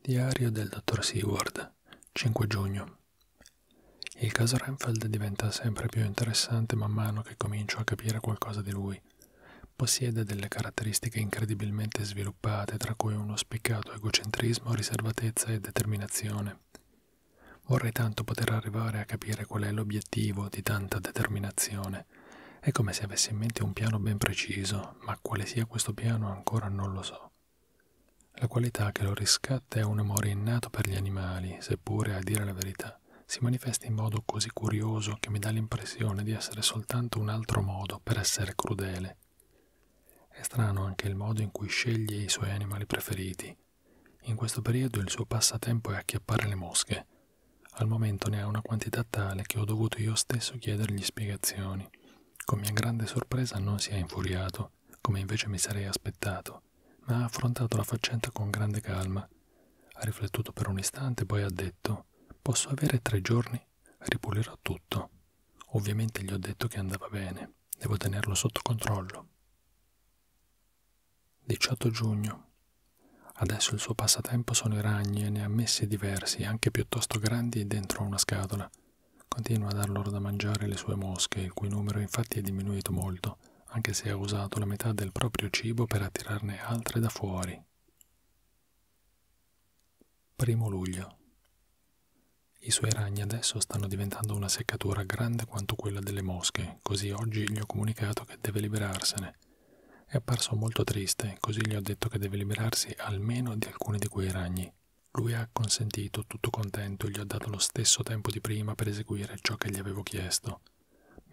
Diario del dottor Seward, 5 giugno. Il caso Renfeld diventa sempre più interessante man mano che comincio a capire qualcosa di lui. Possiede delle caratteristiche incredibilmente sviluppate, tra cui uno spiccato egocentrismo, riservatezza e determinazione. Vorrei tanto poter arrivare a capire qual è l'obiettivo di tanta determinazione situazione. È come se avessi in mente un piano ben preciso, ma quale sia questo piano ancora non lo so. La qualità che lo riscatta è un amore innato per gli animali, seppure, a dire la verità, si manifesta in modo così curioso che mi dà l'impressione di essere soltanto un altro modo per essere crudele. È strano anche il modo in cui sceglie i suoi animali preferiti. In questo periodo il suo passatempo è acchiappare le mosche. Al momento ne ha una quantità tale che ho dovuto io stesso chiedergli spiegazioni emozioni. Con mia grande sorpresa non si è infuriato, come invece mi sarei aspettato, ma ha affrontato la faccenda con grande calma. Ha riflettuto per un istante, poi ha detto Posso avere tre giorni? Ripulirò tutto. Ovviamente gli ho detto che andava bene, devo tenerlo sotto controllo. 18 giugno. Adesso il suo passaporto passatempo sono i ragni e ne ha messi diversi, anche piuttosto grandi, dentro una scatola. Continua a dar loro da mangiare le sue mosche, il cui numero infatti è diminuito molto, anche se ha usato la metà del proprio cibo per attirarne altre da fuori. Primo luglio. I suoi ragni adesso stanno diventando una seccatura grande quanto quella delle mosche, così oggi gli ho comunicato che deve liberarsene è apparso molto triste, così gli ho detto che deve liberarsi almeno di alcuni di quei ragni. Lui ha consentito, tutto contento, gli ho dato lo stesso tempo di prima per eseguire ciò che gli avevo chiesto.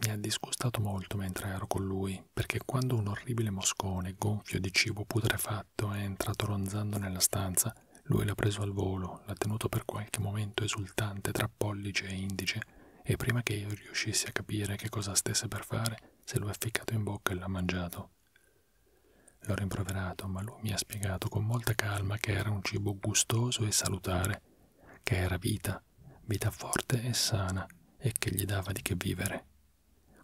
Mi ha disgustato molto mentre ero con lui, perché quando un orribile moscone gonfio di cibo putrefatto è entrato ronzando nella stanza, lui l'ha preso al volo, l'ha tenuto per qualche momento esultante tra pollice e indice, e prima che io riuscissi a capire che cosa stesse per fare, se lo ha ficcato in bocca e l'ha mangiato. L'ho rimproverato, ma lui mi ha spiegato con molta calma che era un cibo gustoso e salutare, che era vita, vita forte e sana, e che gli dava di che vivere.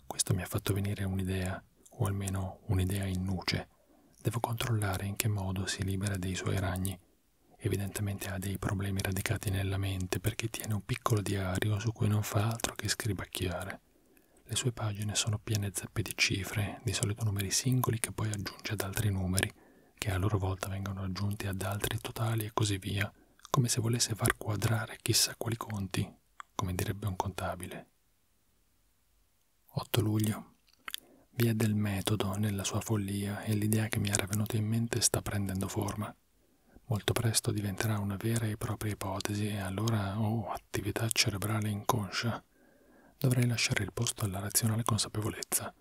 Questo mi ha fatto venire un'idea, o almeno un'idea in nuce. Devo controllare in che modo si libera dei suoi ragni. Evidentemente ha dei problemi radicati nella mente perché tiene un piccolo diario su cui non fa altro che scribacchiare. Le sue pagine sono piene zeppe di cifre, di solito numeri singoli che poi aggiunge ad altri numeri, che a loro volta vengono aggiunti ad altri totali e così via, come se volesse far quadrare chissà quali conti, come direbbe un contabile. 8 luglio. Vi è del metodo nella sua follia e l'idea che mi era venuta in mente sta prendendo forma. Molto presto diventerà una vera e propria ipotesi e allora, oh, attività cerebrale inconscia, dovrei lasciare il posto alla razionale consapevolezza.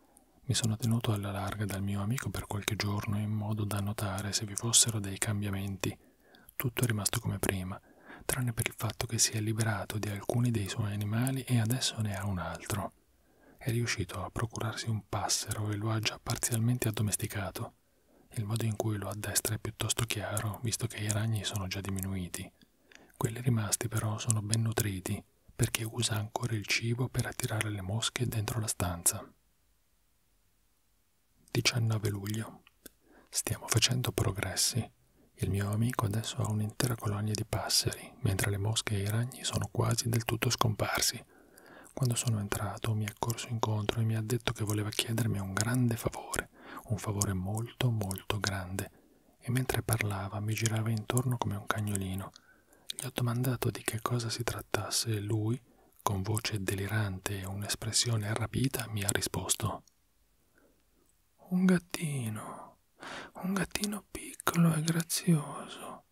Mi sono tenuto alla larga dal mio amico per qualche giorno in modo da notare se vi fossero dei cambiamenti. Tutto è rimasto come prima, tranne per il fatto che si è liberato di alcuni dei suoi animali e adesso ne ha un altro. È riuscito a procurarsi un passero e lo ha già parzialmente addomesticato. Il modo in cui lo addestra è piuttosto chiaro, visto che i ragni sono già diminuiti. Quelli rimasti però sono ben nutriti, perché usa ancora il cibo per attirare le mosche dentro la stanza. 19 luglio. Stiamo facendo progressi. Il mio amico adesso ha un'intera colonia di passeri, mentre le mosche e i ragni sono quasi del tutto scomparsi. Quando sono entrato mi è corso incontro e mi ha detto che voleva chiedermi un grande favore, un favore molto molto grande, e mentre parlava mi girava intorno come un cagnolino. Gli ho domandato di che cosa si trattasse e lui, con voce delirante e un'espressione rapita, mi ha risposto Un gattino, un gattino piccolo e grazioso,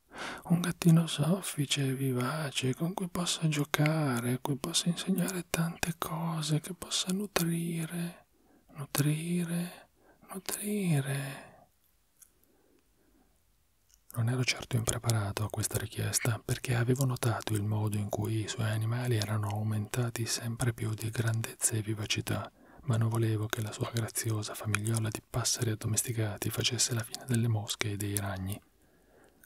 un gattino soffice e vivace piace, con cui possa giocare, a cui possa insegnare tante cose, che possa nutrire, nutrire, nutrire. Non ero certo impreparato a questa richiesta perché avevo notato il modo in cui i suoi animali erano aumentati sempre più di grandezza e vivacità, ma non volevo che la sua graziosa famigliola di passeri addomesticati facesse la fine delle mosche e dei ragni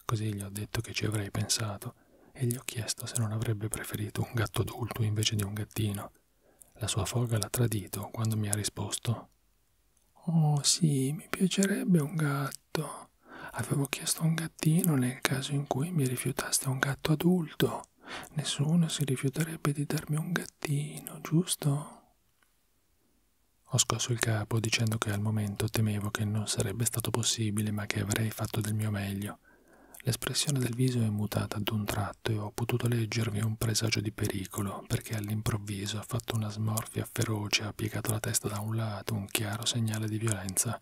Così gli ho detto che ci avrei pensato e gli ho chiesto se non avrebbe preferito un gatto adulto invece di un gattino. La sua foga l'ha tradito quando mi ha risposto Oh sì, mi piacerebbe un gatto. Avevo chiesto un gattino nel caso in cui mi rifiutaste un gatto adulto. Nessuno si rifiuterebbe di darmi un gattino, giusto? Ho scosso il capo dicendo che al momento temevo che non sarebbe stato possibile ma che avrei fatto del mio meglio. L'espressione del viso è mutata d'un tratto e ho potuto leggervi un presagio di pericolo, perché all'improvviso ha fatto una smorfia feroce, ha piegato la testa da un lato, un chiaro segnale di violenza.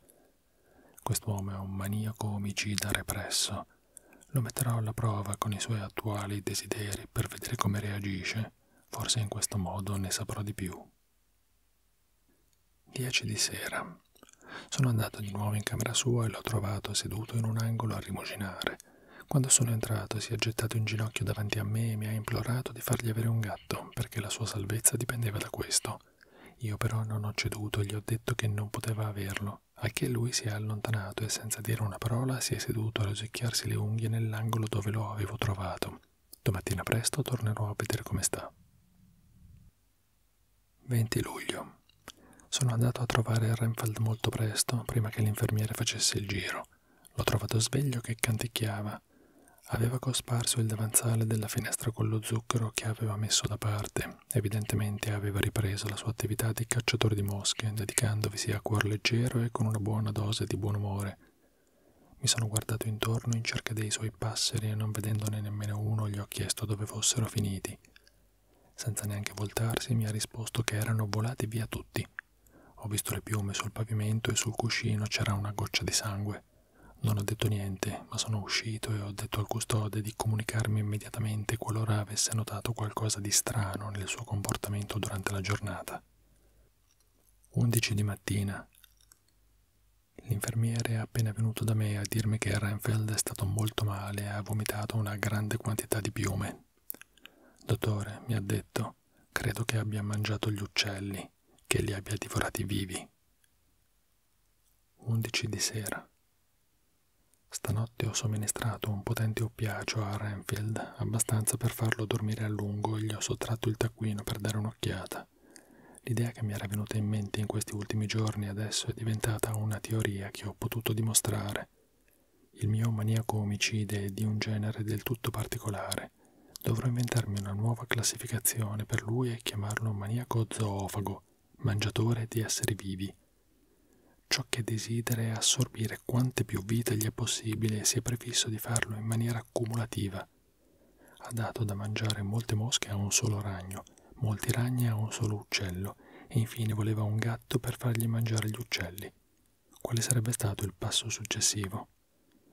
Quest'uomo è un maniaco omicida represso. Lo metterò alla prova con i suoi attuali desideri per vedere come reagisce. Forse in questo modo ne saprò di più. Dieci di sera. Sono andato di nuovo in camera sua e l'ho trovato seduto in un angolo a rimuginare. Quando sono entrato si è gettato in ginocchio davanti a me e mi ha implorato di fargli avere un gatto, perché la sua salvezza dipendeva da questo. Io però non ho ceduto e gli ho detto che non poteva averlo, a che lui si è allontanato e senza dire una parola si è seduto a rosicchiarsi le unghie nell'angolo dove lo avevo trovato. Domattina presto tornerò a vedere come sta. 20 luglio. Sono andato a trovare Renfeld molto presto, prima che l'infermiere facesse il giro. L'ho trovato sveglio che canticchiava. Aveva cosparso il davanzale della finestra con lo zucchero che aveva messo da parte. Evidentemente aveva ripreso la sua attività di cacciatore di mosche, dedicandovisi a cuor leggero e con una buona dose di buon umore. Mi sono guardato intorno in cerca dei suoi passeri e non vedendone nemmeno uno gli ho chiesto dove fossero finiti. Senza neanche voltarsi mi ha risposto che erano volati via tutti. Ho visto le piume sul pavimento e sul cuscino c'era una goccia di sangue. Non ho detto niente, ma sono uscito e ho detto al custode di comunicarmi immediatamente qualora avesse notato qualcosa di strano nel suo comportamento durante la giornata. 11 di mattina. L'infermiere appena venuto da me a dirmi che Renfeld è stato molto male e ha vomitato una grande quantità di piume. Dottore, mi ha detto, credo che abbia mangiato gli uccelli, che li abbia divorati vivi. 11 di sera. Stanotte ho somministrato un potente oppiacio a Renfield, abbastanza per farlo dormire a lungo e gli ho sottratto il taccuino per dare un'occhiata vita. L'idea che mi era venuta in mente in questi ultimi giorni adesso è diventata una teoria che ho potuto dimostrare. Il mio maniaco omicide è di un genere del tutto particolare. Dovrò inventarmi una nuova classificazione per lui e chiamarlo maniaco zoofago, mangiatore di esseri vivi. Ciò che desidera è assorbire quante più vite gli è possibile e si è prefisso di farlo in maniera cumulativa. Ha dato da mangiare molte mosche a un solo ragno, molti ragni a un solo uccello e infine voleva un gatto per fargli mangiare gli uccelli. Quale sarebbe stato il passo successivo?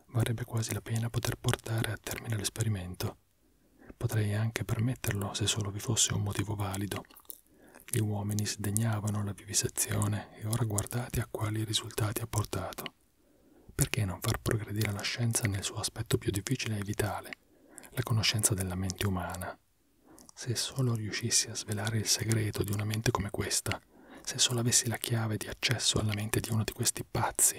Varrebbe quasi la pena poter portare a termine l'esperimento. Potrei anche permetterlo se solo vi fosse un motivo valido. Gli uomini sdegnavano la vivisezione e ora guardate a quali risultati ha portato. Perché non far progredire la scienza nel suo aspetto più difficile e vitale, la conoscenza della mente umana? Se solo riuscissi a svelare il segreto di una mente come questa, se solo avessi la chiave di accesso alla mente di uno di questi pazzi,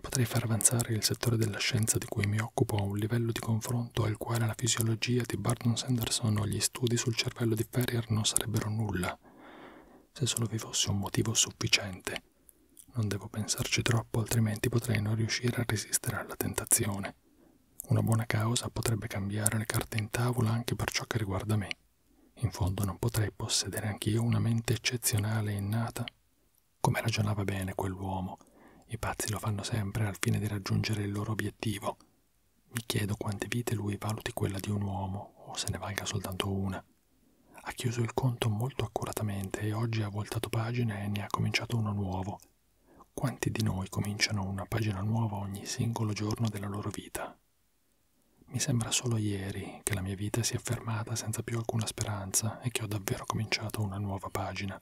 potrei far avanzare il settore della scienza di cui mi occupo a un livello di confronto al quale la fisiologia di Barton Sanderson o gli studi sul cervello di Ferrier non sarebbero nulla, se solo vi fosse un motivo sufficiente non devo pensarci troppo, altrimenti potrei non riuscire a resistere alla tentazione. Una buona causa potrebbe cambiare le carte in tavola anche per ciò che riguarda me. In fondo non potrei possedere anch'io una mente eccezionale e innata? Come ragionava bene quell'uomo. I pazzi lo fanno sempre al fine di raggiungere il loro obiettivo. Mi chiedo quante vite lui valuti quella di un uomo, o se ne valga soltanto una. Ha chiuso il conto molto accuratamente e oggi ha voltato pagina e ne ha cominciato uno nuovo. Quanti di noi cominciano una pagina nuova ogni singolo giorno della loro vita? Mi sembra solo ieri che la mia vita sia fermata senza più alcuna speranza e che ho davvero cominciato una nuova pagina.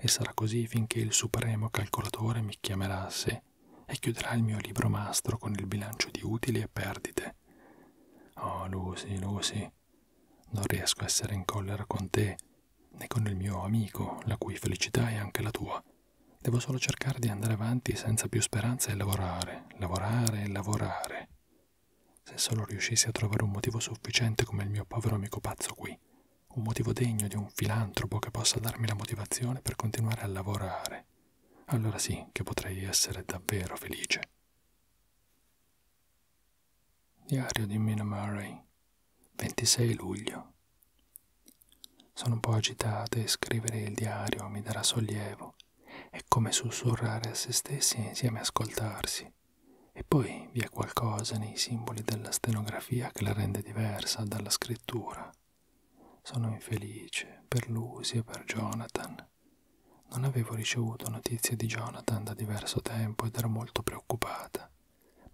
E sarà così finché il supremo calcolatore mi chiamerà a sé e chiuderà il mio libro mastro con il bilancio di utili e perdite niente. Oh, Lucy, Lucy, non riesco a essere in collera con te, né con il mio amico, la cui felicità è anche la tua. Devo solo cercare di andare avanti senza più speranza e lavorare, lavorare e lavorare. Se solo riuscissi a trovare un motivo sufficiente come il mio povero amico pazzo qui, un motivo degno di un filantropo che possa darmi la motivazione per continuare a lavorare, allora sì che potrei essere davvero felice. Diario di Mina Murray, 26 luglio. Sono un po' agitata e scrivere il diario mi darà sollievo. È come sussurrare a se stessi e insieme ascoltarsi. E poi vi è qualcosa nei simboli della stenografia che la rende diversa dalla scrittura. Sono infelice per Lucy e per Jonathan. Non avevo ricevuto notizie di Jonathan da diverso tempo ed ero molto preoccupata.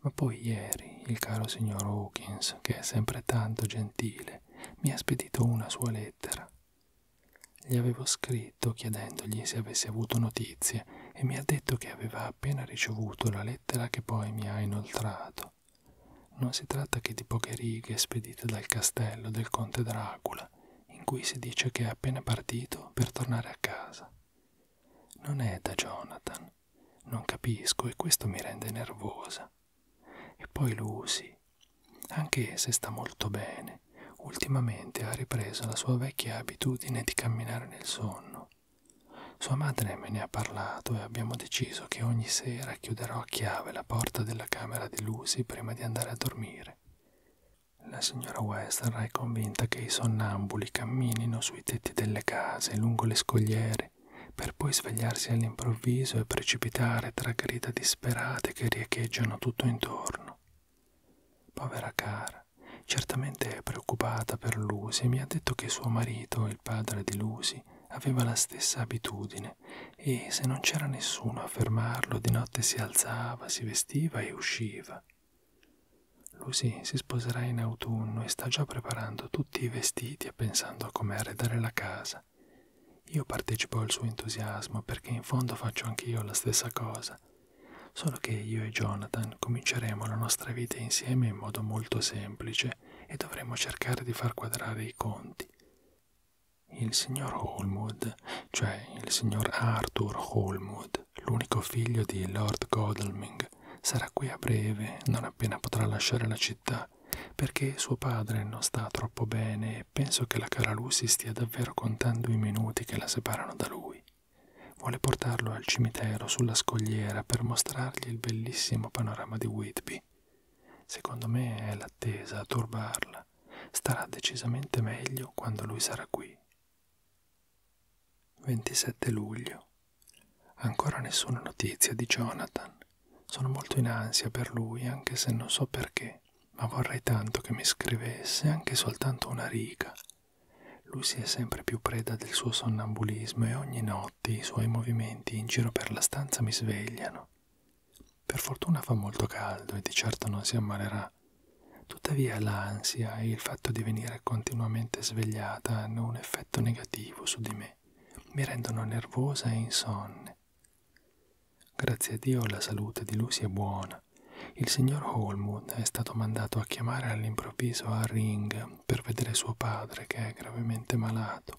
Ma poi ieri il caro signor Hawkins, che è sempre tanto gentile, mi ha spedito una sua lettera. Gli avevo scritto chiedendogli se avesse avuto notizie e mi ha detto che aveva appena ricevuto la lettera che poi mi ha inoltrato. Non si tratta che di poche righe spedite dal castello del conte Dracula, lettera in cui si dice che è appena partito per tornare a casa. Non è da Jonathan, non capisco e questo mi rende nervosa. E poi Lucy, anche se sta molto bene, ultimamente ha ripreso la sua vecchia abitudine di camminare nel sonno. Sua madre me ne ha parlato e abbiamo deciso che ogni sera chiuderò a chiave la porta della camera di Lucy prima di andare a dormire. La signora Western è convinta che i sonnambuli camminino sui tetti delle case, lungo le scogliere, per poi svegliarsi all'improvviso e precipitare tra grida disperate che riecheggiano tutto intorno. Povera cara, certamente è preoccupata per Lucy e mi ha detto che suo marito, il padre di Lucy, aveva la stessa abitudine e se non c'era nessuno a fermarlo, di notte si alzava, si vestiva e usciva. Lucy si sposerà in autunno e sta già preparando tutti i vestiti e pensando a come arredare la casa. Io partecipo al suo entusiasmo perché in fondo faccio anch'io la stessa cosa, solo che io e Jonathan cominceremo la nostra vita insieme in modo molto semplice e dovremo cercare di far quadrare i conti. Il signor Holmwood, cioè il signor Arthur Holmwood, l'unico figlio di Lord Godalming, sarà qui a breve, non appena potrà lasciare la città, perché suo padre non sta troppo bene e penso che la cara Lucy stia davvero contando i minuti che la separano da lui. Vuole portarlo al cimitero sulla scogliera per mostrargli il bellissimo panorama di Whitby. Secondo me è l'attesa a turbarla. Elena starà decisamente meglio quando lui sarà qui. 27 luglio. Ancora nessuna notizia di Jonathan. Sono molto in ansia per lui, anche se non so perché, ma vorrei tanto che mi scrivesse anche soltanto una riga. Lui si è sempre più preda del suo sonnambulismo e ogni notte i suoi movimenti in giro per la stanza mi svegliano. Per fortuna fa molto caldo e di certo non si ammalerà. Tuttavia l'ansia e il fatto di venire continuamente svegliata hanno un effetto negativo su di me, mi rendono nervosa e insonne. Grazie a Dio la salute di Lucy è buona. Il signor Holmwood è stato mandato a chiamare all'improvviso a Ring per vedere suo padre che è gravemente malato.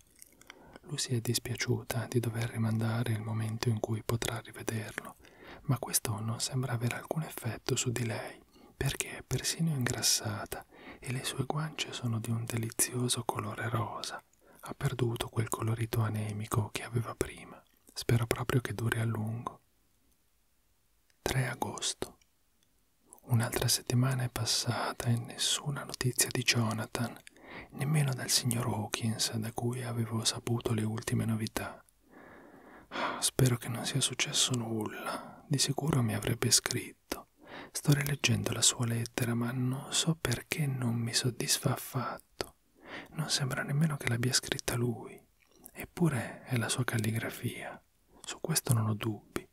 Lucy è dispiaciuta di dover rimandare il momento in cui potrà rivederlo vino, ma questo non sembra avere alcun effetto su di lei, perché è persino ingrassata e le sue guance sono di un delizioso colore rosa. Ha perduto quel colorito anemico che aveva prima. Spero proprio che duri a lungo. 3 agosto. Un'altra settimana è passata e nessuna notizia di Jonathan nemmeno dal signor Hawkins da cui avevo saputo le ultime novità. Ah, spero che non sia successo nulla, di sicuro mi avrebbe scritto. Sto rileggendo la sua lettera, ma non so perché non mi soddisfa affatto. Non sembra nemmeno che l'abbia scritta lui, eppure è la sua calligrafia. Su questo non ho dubbi.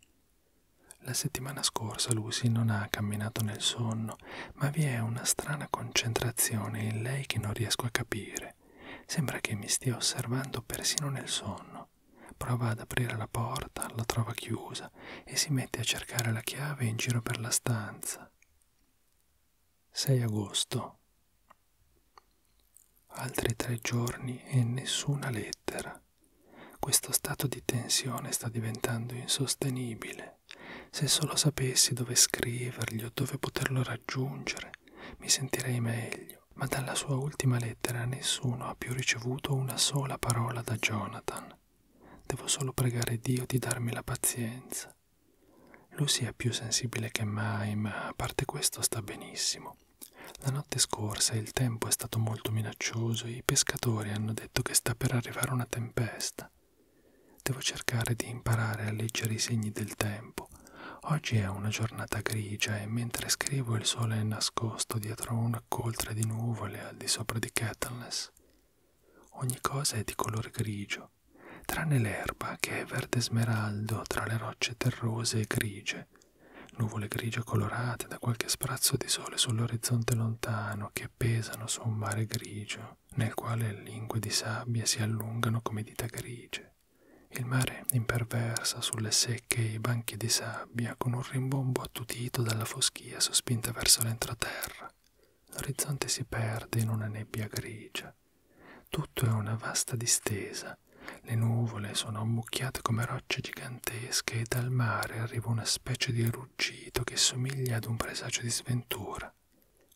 La settimana scorsa Lucy non ha camminato nel sonno intorno, ma vi è una strana concentrazione in lei che non riesco a capire. Sembra che mi stia osservando persino nel sonno. Prova ad aprire la porta, la trova chiusa e si mette a cercare la chiave in giro per la stanza. 6 agosto. Altri tre giorni e nessuna lettera. Questo stato di tensione sta diventando insostenibile. Se solo sapessi dove scrivergli o dove poterlo raggiungere, mi sentirei meglio, ma dalla sua ultima lettera nessuno ha più ricevuto una sola parola da Jonathan. Devo solo pregare Dio di darmi la pazienza. Lucy è più sensibile che mai, ma a parte questo sta benissimo. La notte scorsa il tempo è stato molto minaccioso e i pescatori hanno detto che sta per arrivare una tempesta. Devo cercare di imparare a leggere i segni del tempo. Oggi è una giornata grigia e mentre scrivo il sole è nascosto dietro una coltre di nuvole al di sopra di Kettleness. Ogni cosa è di colore grigio, tranne l'erba che è verde smeraldo tra le rocce terrose e grigie, nuvole grigie colorate da qualche sprazzo di sole sull'orizzonte lontano che pesano su un mare grigio azzurro nel quale lingue di sabbia si allungano come dita grigie. Il mare imperversa sulle secche banchi di sabbia con un rimbombo attutito dalla foschia sospinta verso l'entroterra. L'orizzonte si perde in una nebbia grigia. Tutto è una vasta distesa. Le nuvole sono ammucchiate come rocce gigantesche e dal mare arriva una specie di ruggito che somiglia ad un presagio di sventura strada.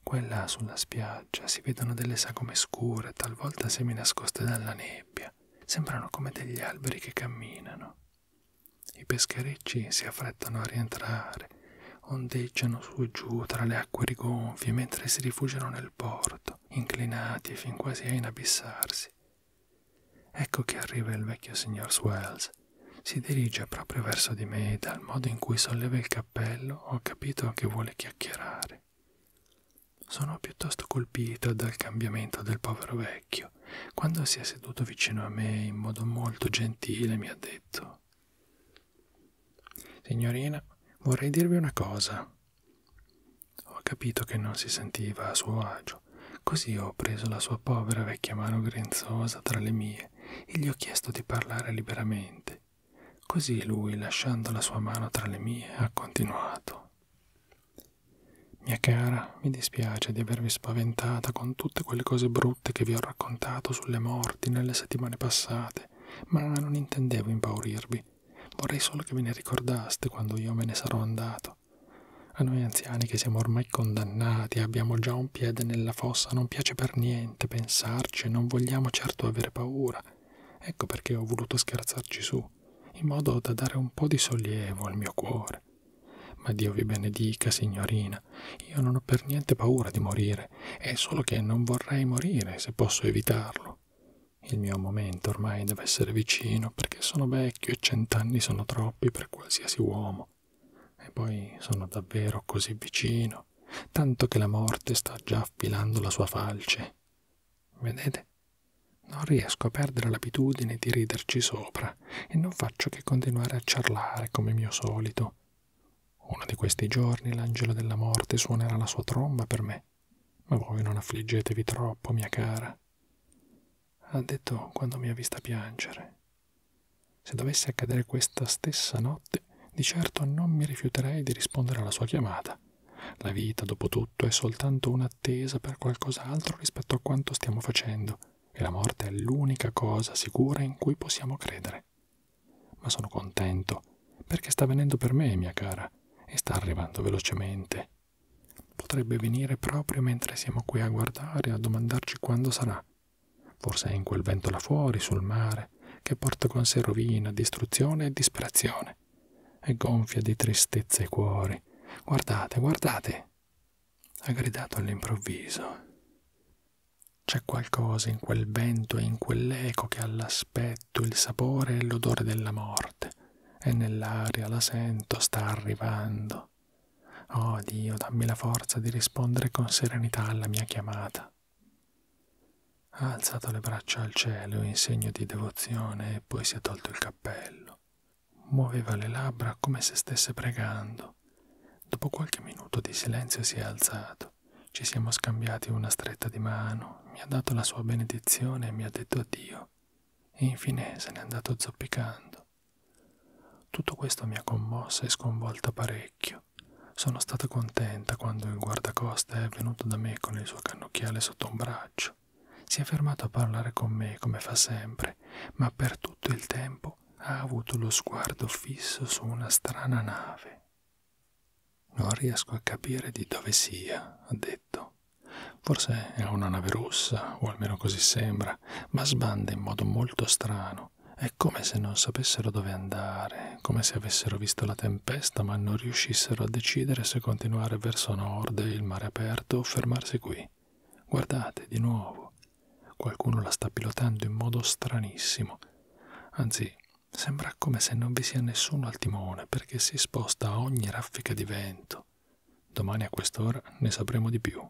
Quella sulla spiaggia si vedono delle sagome scure, talvolta semi nascoste dalla nebbia. Sembrano come degli alberi che camminano. I pescherecci si affrettano a rientrare, ondeggiano su e giù tra le acque rigonfie mentre si rifugiano nel porto, inclinati fin quasi a inabissarsi. Ecco che arriva il vecchio signor Swells. Si dirige proprio verso di me dal modo in cui solleva il cappello ho capito che vuole chiacchierare. Sono piuttosto colpita dal cambiamento del povero vecchio. Quando si è seduto vicino a me in modo molto gentile mi ha detto Signorina, vorrei dirvi una cosa. Ho capito che non si sentiva a suo agio, così ho preso la sua povera vecchia mano grinzosa tra le mie e gli ho chiesto di parlare liberamente. Così lui, lasciando la sua mano tra le mie, ha continuato. Mia cara, mi dispiace di avervi spaventata con tutte quelle cose brutte che vi ho raccontato sulle morti nelle settimane passate, ma non intendevo impaurirvi. Vorrei solo che ve ne ricordaste quando io me ne sarò andato. A noi anziani che siamo ormai condannati abbiamo già un piede nella della fossa non piace per niente pensarci e non vogliamo certo avere paura. Ecco perché ho voluto scherzarci su, in modo da dare un po' di sollievo al mio cuore. Ma Dio vi benedica, signorina, io non ho per niente paura di morire, è solo che non vorrei morire se posso evitarlo. Il mio momento ormai deve essere vicino perché sono vecchio e cent'anni sono troppi per qualsiasi uomo. E poi sono davvero così vicino tanto che la morte sta già affilando la sua falce. Vedete? Non riesco a perdere l'abitudine di riderci sopra e non faccio che continuare a ciarlare come mio solito. Uno di questi giorni l'angelo della morte suonerà la sua tromba per me, ma voi non affliggetevi troppo, mia cara. Ha detto quando mi ha vista piangere. Se dovesse accadere questa stessa notte, di certo non mi rifiuterei di rispondere alla sua chiamata. La vita, dopo tutto, è soltanto un'attesa per qualcos'altro rispetto a quanto stiamo facendo, e la morte è l'unica cosa sicura in cui possiamo credere. Ma sono contento, perché sta venendo per me, mia cara, e sta arrivando velocemente. Potrebbe venire proprio mentre siamo qui a guardare e a domandarci quando sarà. Forse è in quel vento là fuori, sul mare, che porta con sé rovina, distruzione e disperazione, e gonfia di tristezza i cuori. Guardate, guardate! ha gridato all'improvviso. C'è qualcosa in quel vento e in quell'eco che ha l'aspetto, il sapore e l'odore della morte, e nell'aria la sento, sta arrivando. Oh Dio, dammi la forza di rispondere con serenità alla mia chiamata. Ha alzato le braccia al cielo in segno di devozione e poi si è tolto il cappello. Muoveva le labbra come se stesse pregando. Dopo qualche minuto di silenzio si è alzato. Ci siamo scambiati una stretta di mano, mi ha dato la sua benedizione e mi ha detto addio. E infine se n'è andato zoppicando. Tutto questo mi ha commossa e sconvolta parecchio parecchio. Sono stata contenta quando il guardacosta è venuto da me con il suo cannocchiale sotto un braccio. Si è fermato a parlare con me come fa sempre, ma per tutto il tempo ha avuto lo sguardo fisso su una strana nave. Non riesco a capire di dove sia, ha detto. Forse è una nave russa, o almeno così sembra, ma sbanda in modo molto strano mano. È come se non sapessero dove andare, come se avessero visto la tempesta ma non riuscissero a decidere se continuare verso nord, il mare aperto o fermarsi qui. Guardate, di nuovo. Qualcuno la sta pilotando in modo stranissimo. Anzi, sembra come se non vi sia nessuno al timone perché si sposta a ogni raffica di vento. Domani a quest'ora ne sapremo di più.